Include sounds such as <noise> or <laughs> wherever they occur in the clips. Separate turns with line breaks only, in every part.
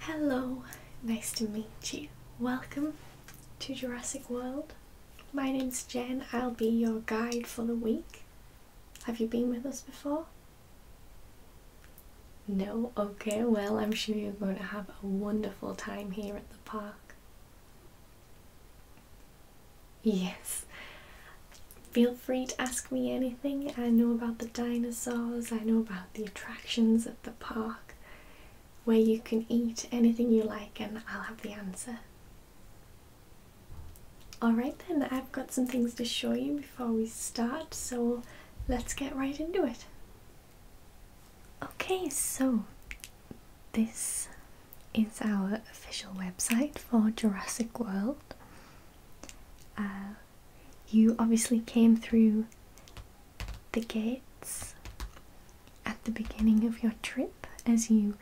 Hello, nice to meet you. Welcome to Jurassic World. My name's Jen, I'll be your guide for the week. Have you been with us before? No? Okay, well, I'm sure you're going to have a wonderful time here at the park. Yes. Feel free to ask me anything. I know about the dinosaurs, I know about the attractions at the park, where you can eat anything you like, and I'll have the answer. Alright, then, I've got some things to show you before we start, so let's get right into it. Okay, so this is our official website for Jurassic World. Uh, you obviously came through the gates at the beginning of your trip as you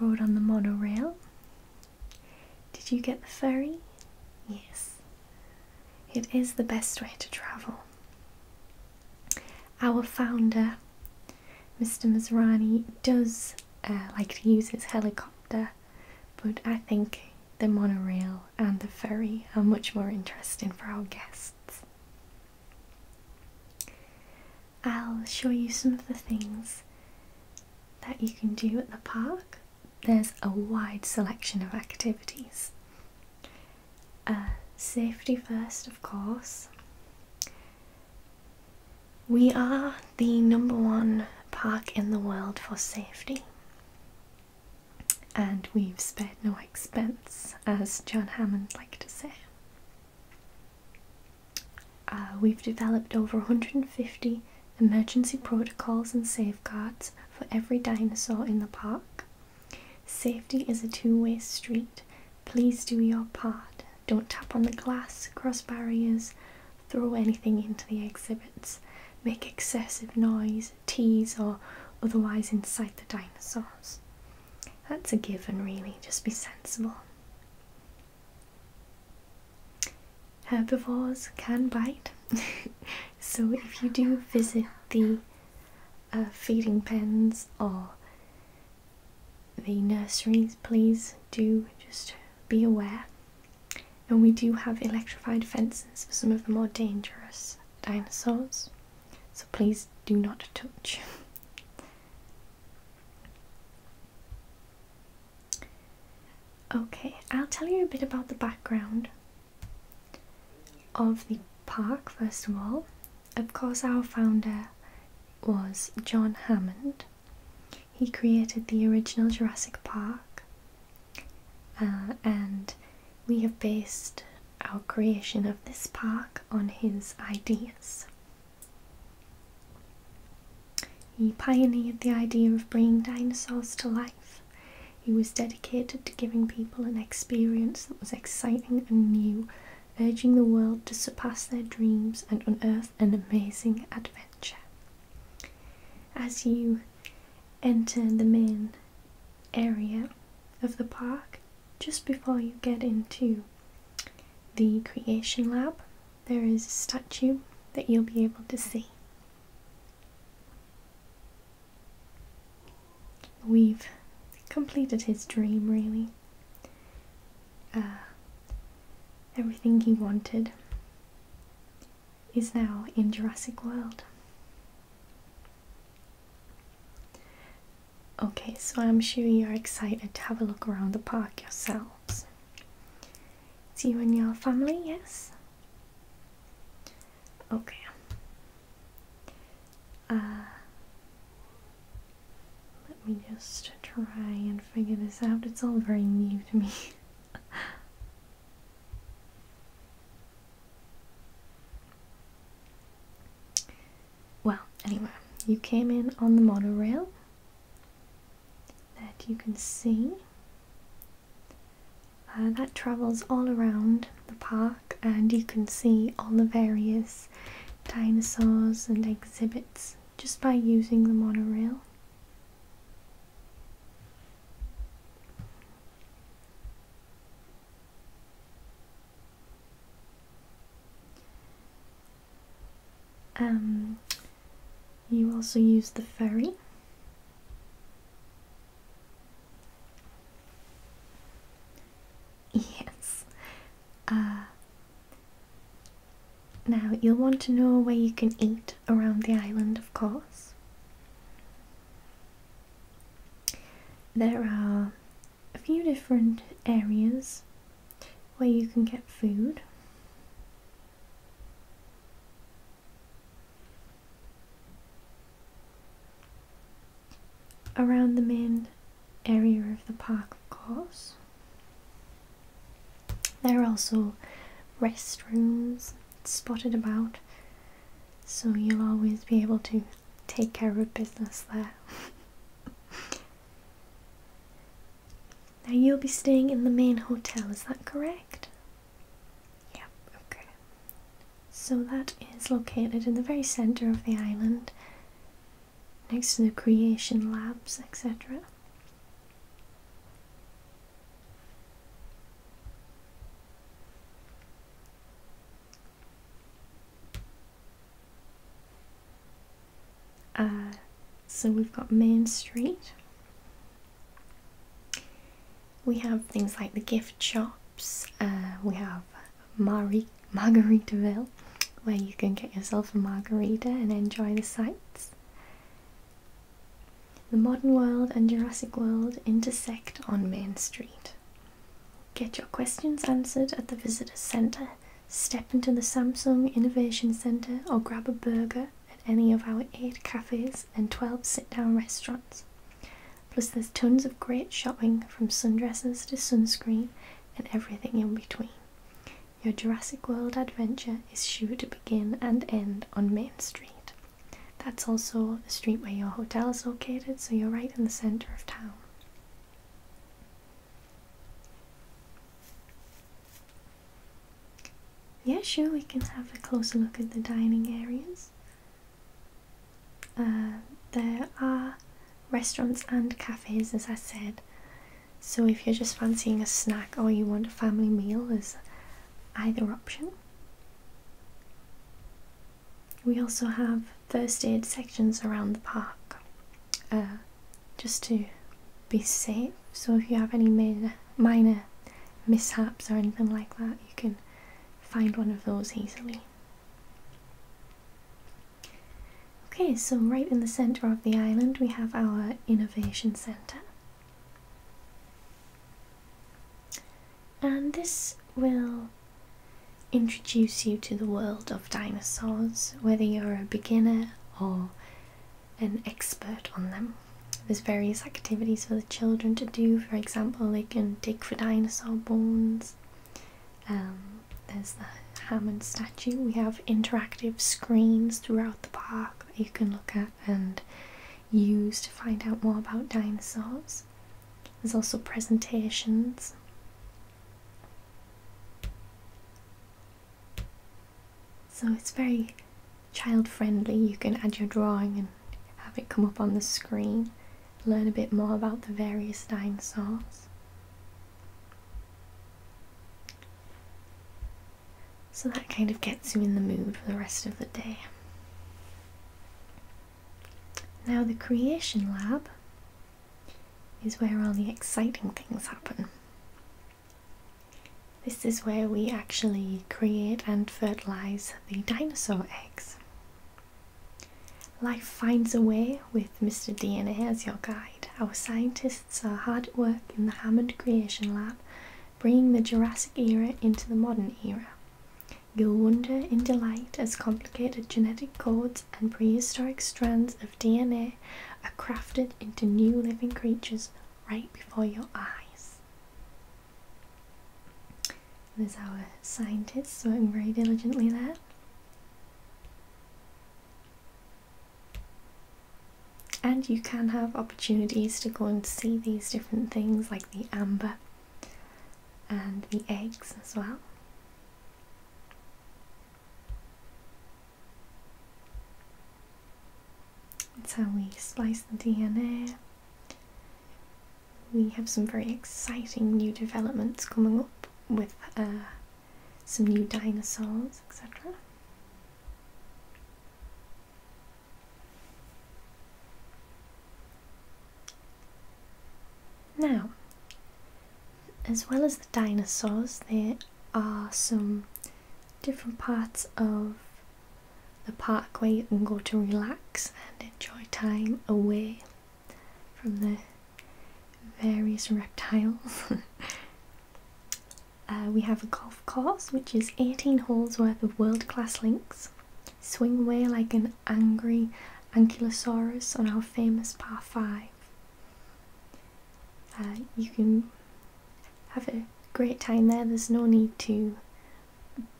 rode on the monorail. Did you get the ferry? Yes. It is the best way to travel. Our founder, Mr. Masrani, does uh, like to use his helicopter but I think the monorail and the ferry are much more interesting for our guests. I'll show you some of the things that you can do at the park. There's a wide selection of activities. Uh, safety first, of course. We are the number one park in the world for safety and we've spared no expense, as John Hammond liked to say. Uh, we've developed over 150 emergency protocols and safeguards for every dinosaur in the park. Safety is a two way street. Please do your part. Don't tap on the glass, cross barriers, throw anything into the exhibits, make excessive noise, these or otherwise incite the dinosaurs. That's a given, really, just be sensible. Herbivores can bite, <laughs> so if you do visit the uh, feeding pens or the nurseries, please do just be aware and we do have electrified fences for some of the more dangerous dinosaurs, so please do not touch. okay, I'll tell you a bit about the background of the park first of all. Of course, our founder was John Hammond. He created the original Jurassic Park uh, and we have based our creation of this park on his ideas. He pioneered the idea of bringing dinosaurs to life. He was dedicated to giving people an experience that was exciting and new, urging the world to surpass their dreams and unearth an amazing adventure. As you enter the main area of the park just before you get into the creation lab there is a statue that you'll be able to see we've completed his dream really uh, everything he wanted is now in Jurassic World. Okay, so I'm sure you're excited to have a look around the park yourselves. It's you and your family, yes? Okay. Uh, let me just try and figure this out. It's all very new to me. <laughs> Well, anyway, you came in on the monorail that you can see. Uh, that travels all around the park, and you can see all the various dinosaurs and exhibits just by using the monorail. Um, you also use the ferry. <laughs> Yes. Uh, now, you'll want to know where you can eat around the island, of course. There are a few different areas where you can get food. Around the main area of the park, of course. There are also restrooms spotted about, so you'll always be able to take care of business there. <laughs> now, you'll be staying in the main hotel, is that correct? Yep, okay. So, that is located in the very centre of the island, next to the creation labs, etc. Uh, so we've got Main Street. We have things like the gift shops. Uh, we have Marie Margaritaville, where you can get yourself a margarita and enjoy the sights. The modern world and Jurassic World intersect on Main Street. Get your questions answered at the Visitor Centre, step into the Samsung Innovation Centre, or grab a burger at any of our 8 cafes and 12 sit down restaurants. Plus, there's tons of great shopping from sundresses to sunscreen and everything in between. Your Jurassic World adventure is sure to begin and end on Main Street. That's also the street where your hotel is located, so you're right in the centre of town. Yeah, sure, we can have a closer look at the dining areas. Uh, there are restaurants and cafes, as I said. So if you're just fancying a snack or you want a family meal, there's either option. We also have first aid sections around the park uh, just to be safe. So if you have any minor mishaps or anything like that, you can find one of those easily. Okay, so right in the centre of the island we have our innovation centre. And this will introduce you to the world of dinosaurs, whether you're a beginner or an expert on them. There's various activities for the children to do, for example, they can dig for dinosaur bones. Um, there's the Hammond statue. We have interactive screens throughout the park that you can look at and use to find out more about dinosaurs. There's also presentations. So it's very child friendly. You can add your drawing and have it come up on the screen, learn a bit more about the various dinosaurs. So that kind of gets you in the mood for the rest of the day. Now, the creation lab is where all the exciting things happen. This is where we actually create and fertilise the dinosaur eggs. Life finds a way with Mr. DNA as your guide. Our scientists are hard at work in the Hammond Creation Lab bringing the Jurassic era into the modern era. You'll wonder in delight as complicated genetic codes and prehistoric strands of DNA are crafted into new living creatures right before your eyes. There's our scientists working very diligently there. And you can have opportunities to go and see these different things like the amber and the eggs as well. That's how we splice the DNA. We have some very exciting new developments coming up with uh, some new dinosaurs, etc. Now, as well as the dinosaurs, there are some different parts of the park where you can go to relax and enjoy time away from the various reptiles. <laughs> Uh, we have a golf course, which is 18 holes worth of world class links. Swing away like an angry ankylosaurus on our famous par 5. Uh, you can have a great time there, there's no need to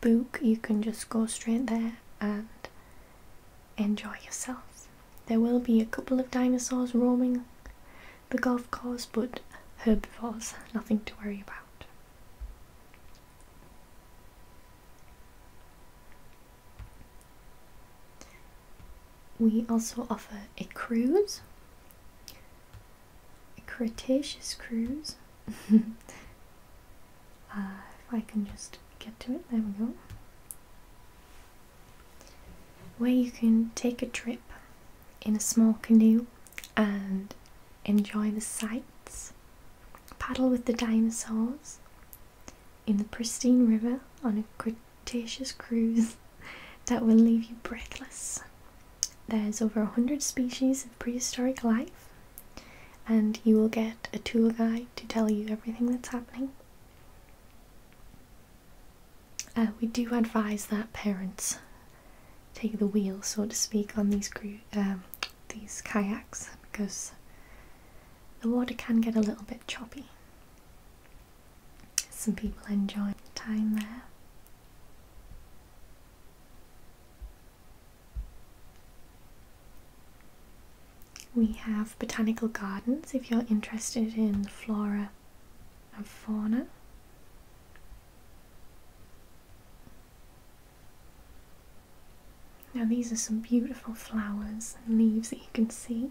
book, you can just go straight there and enjoy yourselves. There will be a couple of dinosaurs roaming the golf course, but herbivores, nothing to worry about. We also offer a cruise, a Cretaceous cruise. <laughs> Uh, if I can just get to it, there we go where you can take a trip in a small canoe and enjoy the sights, paddle with the dinosaurs in the pristine river on a Cretaceous cruise <laughs> that will leave you breathless. There's over a 100 species of prehistoric life, and you will get a tour guide to tell you everything that's happening. Uh, we do advise that parents take the wheel, so to speak, on these um, these kayaks because the water can get a little bit choppy. Some people enjoy time there. We have botanical gardens if you're interested in flora and fauna. Now these are some beautiful flowers and leaves that you can see.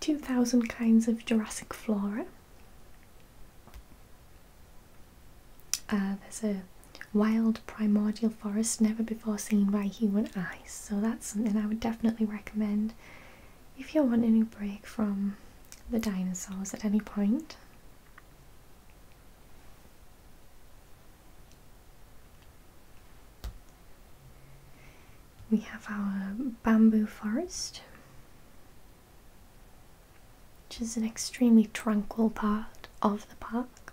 2,000 kinds of Jurassic flora. Uh, there's a wild primordial forest never before seen by human eyes so that's something I would definitely recommend if you want any break from the dinosaurs at any point. We have our bamboo forest, which is an extremely tranquil part of the park.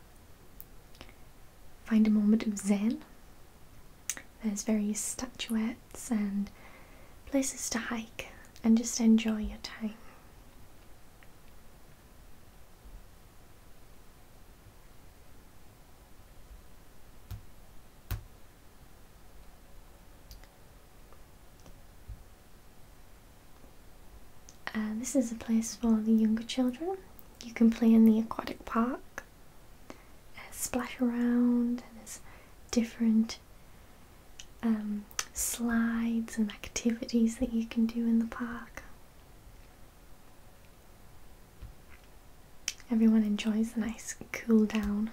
Find a moment of zen there's various statuettes and places to hike and just enjoy your time. Uh, this is a place for the younger children. You can play in the aquatic park uh, splash around, and there's different um, slides and activities that you can do in the park. Everyone enjoys a nice cool down.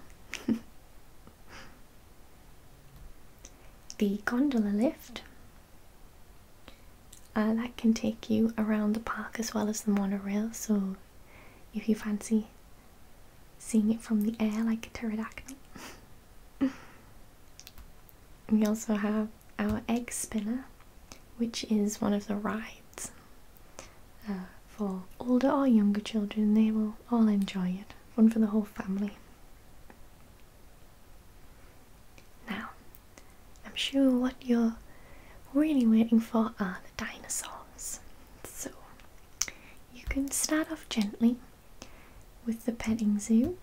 <laughs> the gondola lift uh, that can take you around the park as well as the monorail, so if you fancy seeing it from the air like a pterodactyl. <laughs> we also have our egg spinner, which is one of the rides uh, for older or younger children. They will all enjoy it. One for the whole family. Now, I'm sure what you're really waiting for are the dinosaurs. So you can start off gently with the petting zoo.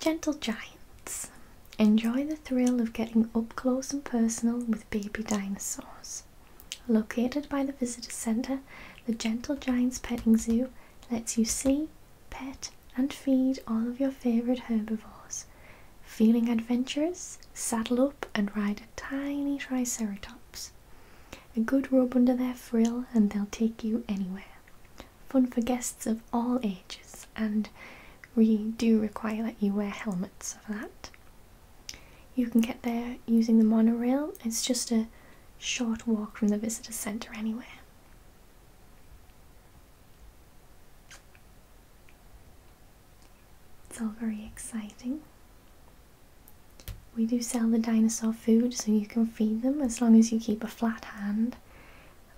Gentle giants. Enjoy the thrill of getting up close and personal with baby dinosaurs. Located by the visitor centre, the Gentle Giants Petting Zoo lets you see, pet, and feed all of your favourite herbivores. Feeling adventurous, saddle up and ride a tiny triceratops. A good rub under their frill and they'll take you anywhere. Fun for guests of all ages, and we do require that you wear helmets for that. You can get there using the monorail, it's just a short walk from the visitor centre anywhere. It's all very exciting. We do sell the dinosaur food so you can feed them as long as you keep a flat hand,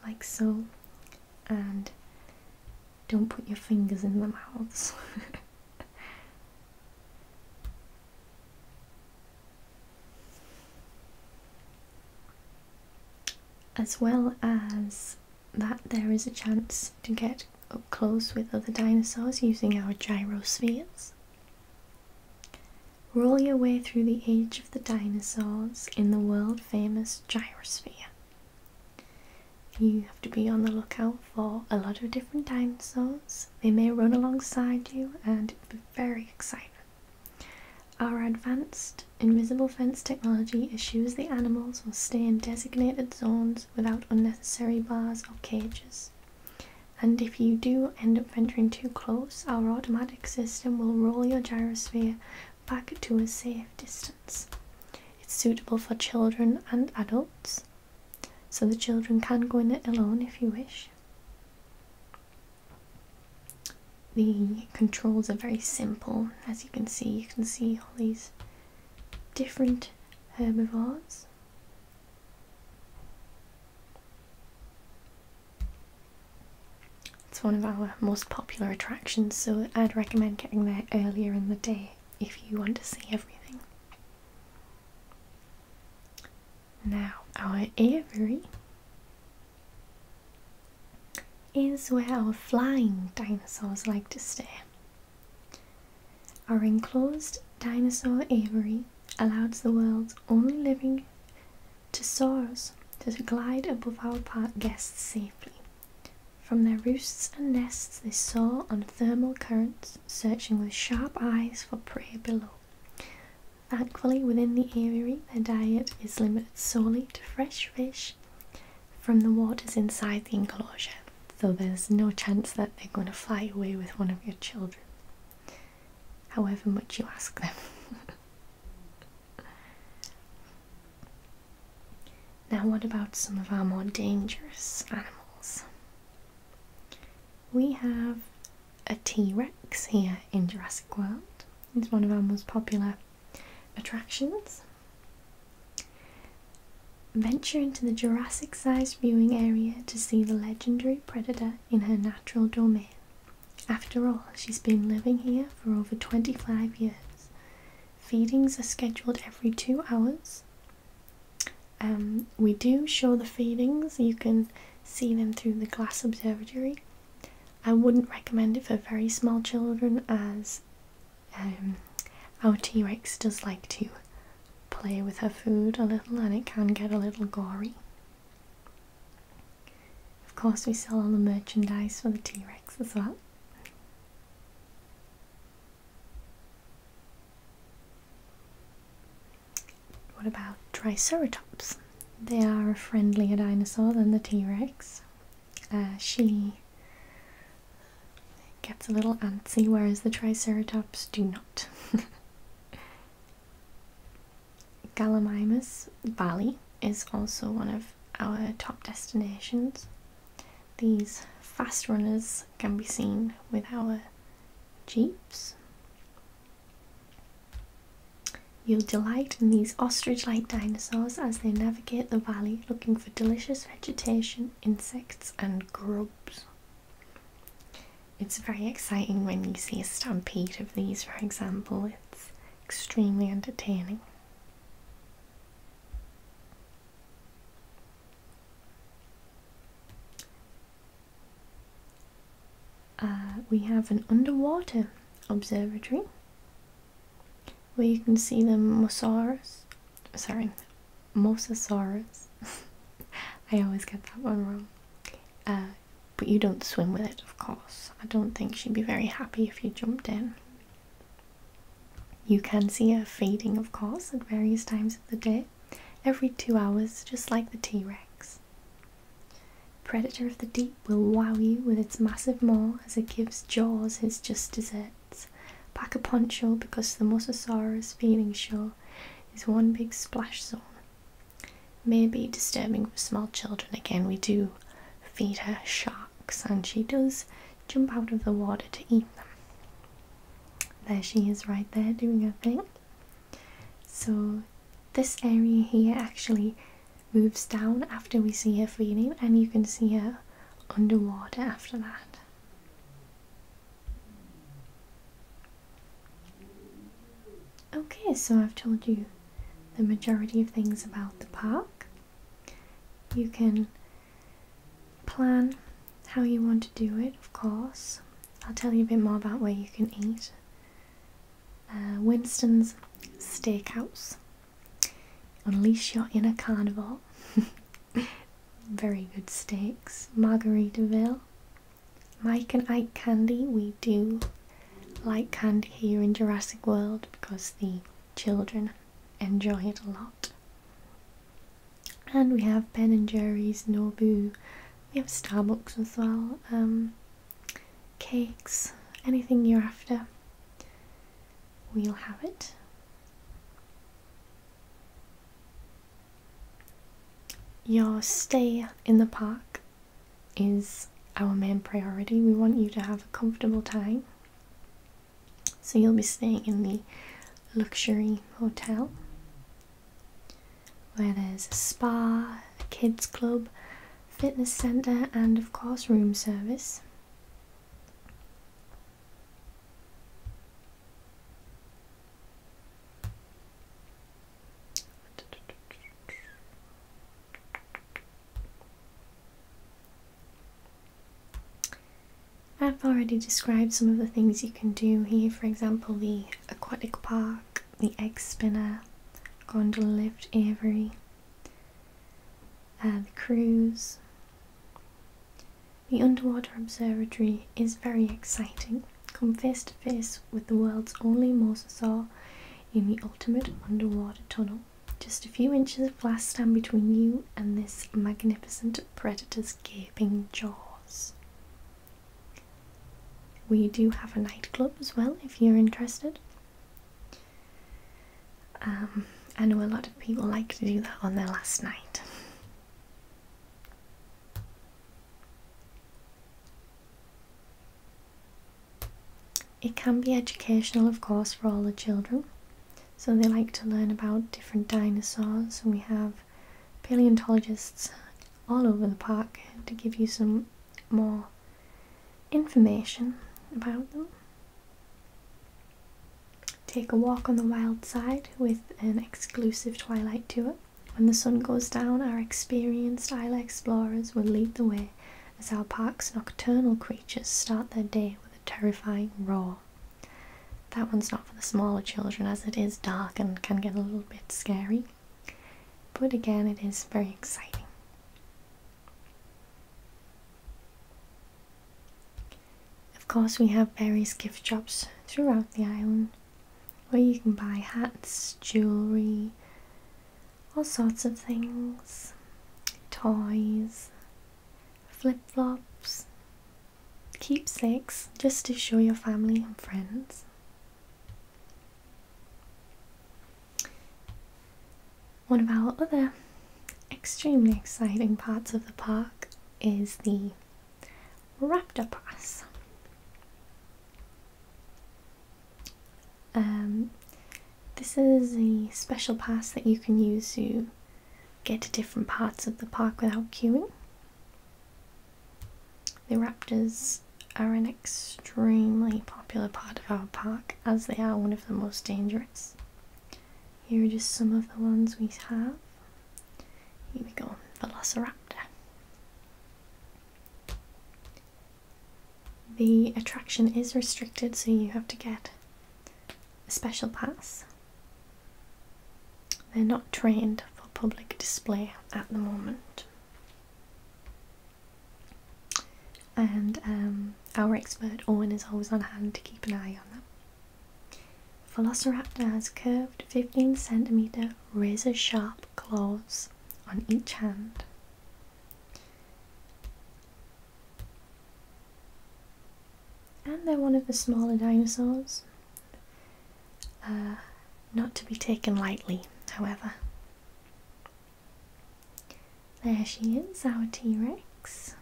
like so, and don't put your fingers in the mouths. <laughs> as well as that there is a chance to get up close with other dinosaurs using our gyrospheres. Roll your way through the age of the dinosaurs in the world famous gyro sphere. You have to be on the lookout for a lot of different dinosaurs. They may run alongside you and it'll be very exciting. Our advanced invisible fence technology ensures the animals will stay in designated zones without unnecessary bars or cages. And if you do end up venturing too close, our automatic system will roll your gyrosphere back to a safe distance. It's suitable for children and adults, so the children can go in it alone if you wish. The controls are very simple as you can see, you can see all these different herbivores. It's one of our most popular attractions, so I'd recommend getting there earlier in the day if you want to see everything. Now, our aviary is where our flying dinosaurs like to stay. Our enclosed dinosaur aviary allows the world's only living Tesaurus to glide above our park guests safely. From their roosts and nests they soar on thermal currents, searching with sharp eyes for prey below. Thankfully, within the aviary, their diet is limited solely to fresh fish from the waters inside the enclosure, so there's no chance that they're going to fly away with one of your children, however much you ask them. <laughs> now, what about some of our more dangerous animals? We have a T Rex here in Jurassic World. It's one of our most popular Attractions Venture into the Jurassic sized viewing area to see the legendary predator in her natural domain. After all, she's been living here for over 25 years. Feedings are scheduled every two hours. Um, we do show the feedings, you can see them through the glass observatory, I wouldn't recommend it for very small children as um, our T Rex does like to play with her food a little and it can get a little gory. Of course, we sell all the merchandise for the T Rex as well. What about Triceratops? They are a friendlier dinosaur than the T Rex. Uh, she gets a little antsy, whereas the Triceratops do not. <laughs> Gallimimus Valley is also one of our top destinations. These fast runners can be seen with our jeeps. You'll delight in these ostrich like dinosaurs as they navigate the valley looking for delicious vegetation, insects, and grubs. It's very exciting when you see a stampede of these, for example, it's extremely entertaining. Uh, we have an underwater observatory well, you can see the mosasaurus. Sorry, mosasaurus. <laughs> I always get that one wrong. Uh, but you don't swim with it, of course. I don't think she'd be very happy if you jumped in. You can see her feeding, of course, at various times of the day, every two hours, just like the T Rex. Predator of the Deep will wow you with its massive maw as it gives Jaws its just desserts. Pack a poncho because the Mosasaurus feeding show is one big splash zone. Maybe disturbing for small children. Again, we do feed her sharks and she does jump out of the water to eat them. There she is right there doing her thing. So this area here actually moves down after we see her feeding, and you can see her underwater after that. Okay, so I've told you the majority of things about the park. You can plan how you want to do it, of course. I'll tell you a bit more about where you can eat. Uh, Winston's Steakhouse Unleash your inner carnival. <laughs> Very good steaks. Margaritaville. Mike and Ike candy. We do like candy here in Jurassic World because the children enjoy it a lot. And we have Ben and Jerry's, Nobu. We have Starbucks as well. Um, cakes, anything you're after, we'll have it. Your stay in the park is our main priority. We want you to have a comfortable time. So you'll be staying in the luxury hotel where there's a spa, a kids club, fitness centre and of course room service. I've already described some of the things you can do here, for example the aquatic park, the egg spinner, gondola lift, aviary, uh, the cruise, the underwater observatory is very exciting. Come face to face with the world's only mosasaur in the ultimate underwater tunnel. Just a few inches of glass stand between you and this magnificent predator's gaping jaws. We do have a nightclub as well if you're interested. Um, I know a lot of people like to do that on their last night. It can be educational, of course, for all the children. So they like to learn about different dinosaurs, and we have paleontologists all over the park to give you some more information about them. Take a walk on the wild side with an exclusive twilight tour. When the sun goes down, our experienced isle explorers will lead the way as our park's nocturnal creatures start their day with a terrifying roar. That one's not for the smaller children as it is dark and can get a little bit scary, but again, it is very exciting. Of course, we have various gift shops throughout the island where you can buy hats, jewellery, all sorts of things, toys, flip flops, keepsakes just to show your family and friends. One of our other extremely exciting parts of the park is the Raptor Pass. Um, this is a special pass that you can use to get to different parts of the park without queuing. The raptors are an extremely popular part of our park as they are one of the most dangerous. Here are just some of the ones we have. Here we go, Velociraptor. The attraction is restricted, so you have to get a special pass. They're not trained for public display at the moment and um, our expert Owen is always on hand to keep an eye on them. Velociraptor has curved 15 centimeter razor sharp claws on each hand. And they're one of the smaller dinosaurs, uh, not to be taken lightly, however. There she is, our T Rex.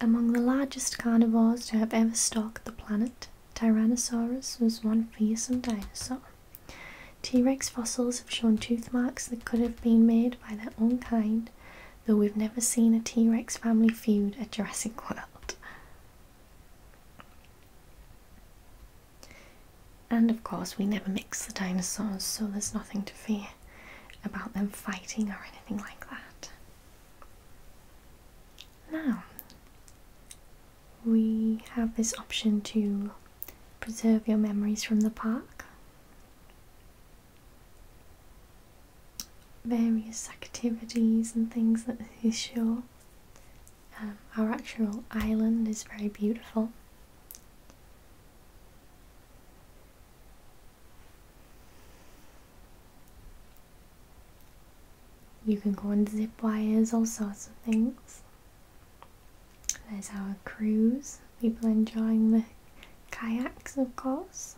Among the largest carnivores to have ever stalked the planet, Tyrannosaurus was one fearsome dinosaur. T Rex fossils have shown tooth marks that could have been made by their own kind, though we've never seen a T Rex family feud at Jurassic World. And of course, we never mix the dinosaurs, so there's nothing to fear about them fighting or anything like that. Now, we have this option to preserve your memories from the park. Various activities and things that they show um, our actual island is very beautiful. You can go on zip wires, all sorts of things. There's our cruise, people enjoying the kayaks, of course.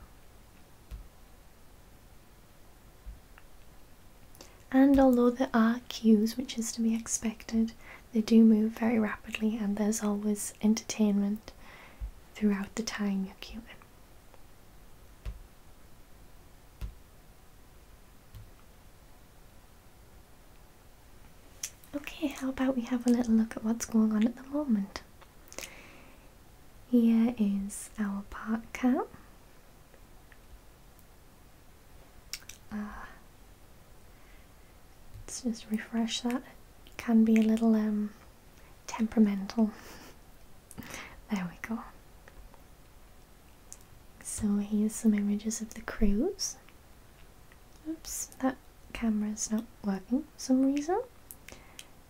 And although there are queues, which is to be expected, they do move very rapidly, and there's always entertainment throughout the time you're queuing. Okay, how about we have a little look at what's going on at the moment? Here is our park cat. Ah. let's just refresh that. It can be a little um, temperamental. <laughs> there we go. So here's some images of the cruise. Oops, that camera's not working for some reason.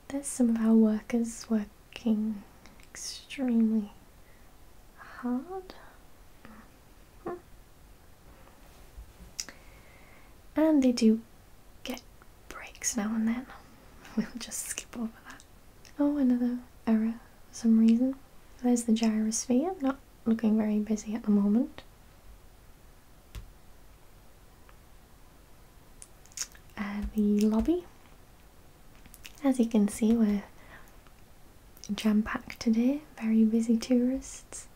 There's some of our workers working extremely hard. Mm-hmm. And they do get breaks now and then. <laughs> We'll just skip over that. Oh, another error for some reason. There's the gyrosphere, not looking very busy at the moment. And uh, the lobby as you can see, we're jam packed today, very busy tourists.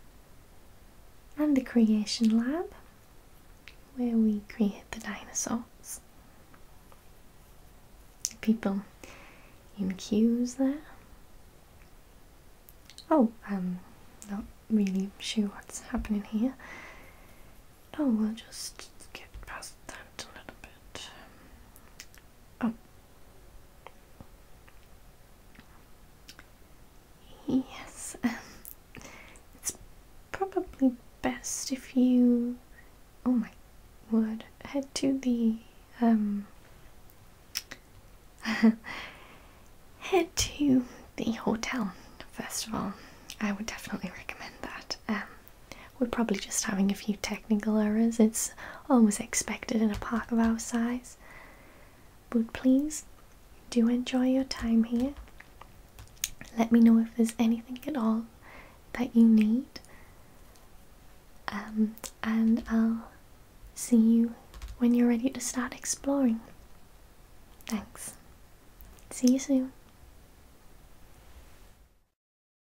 And the creation lab, where we create the dinosaurs. People in queues there. Oh, I'm not really sure what's happening here. Oh, we'll just get past that a little bit. Oh. Yes, um, it's probably best if you. Oh my word, head to the. Um, <laughs> head to the hotel, first of all. I would definitely recommend that. Um, we're probably just having a few technical errors. It's always expected in a park of our size. But please do enjoy your time here. Let me know if there's anything at all that you need. Um, and I'll see you when you're ready to start exploring. Thanks. See you soon.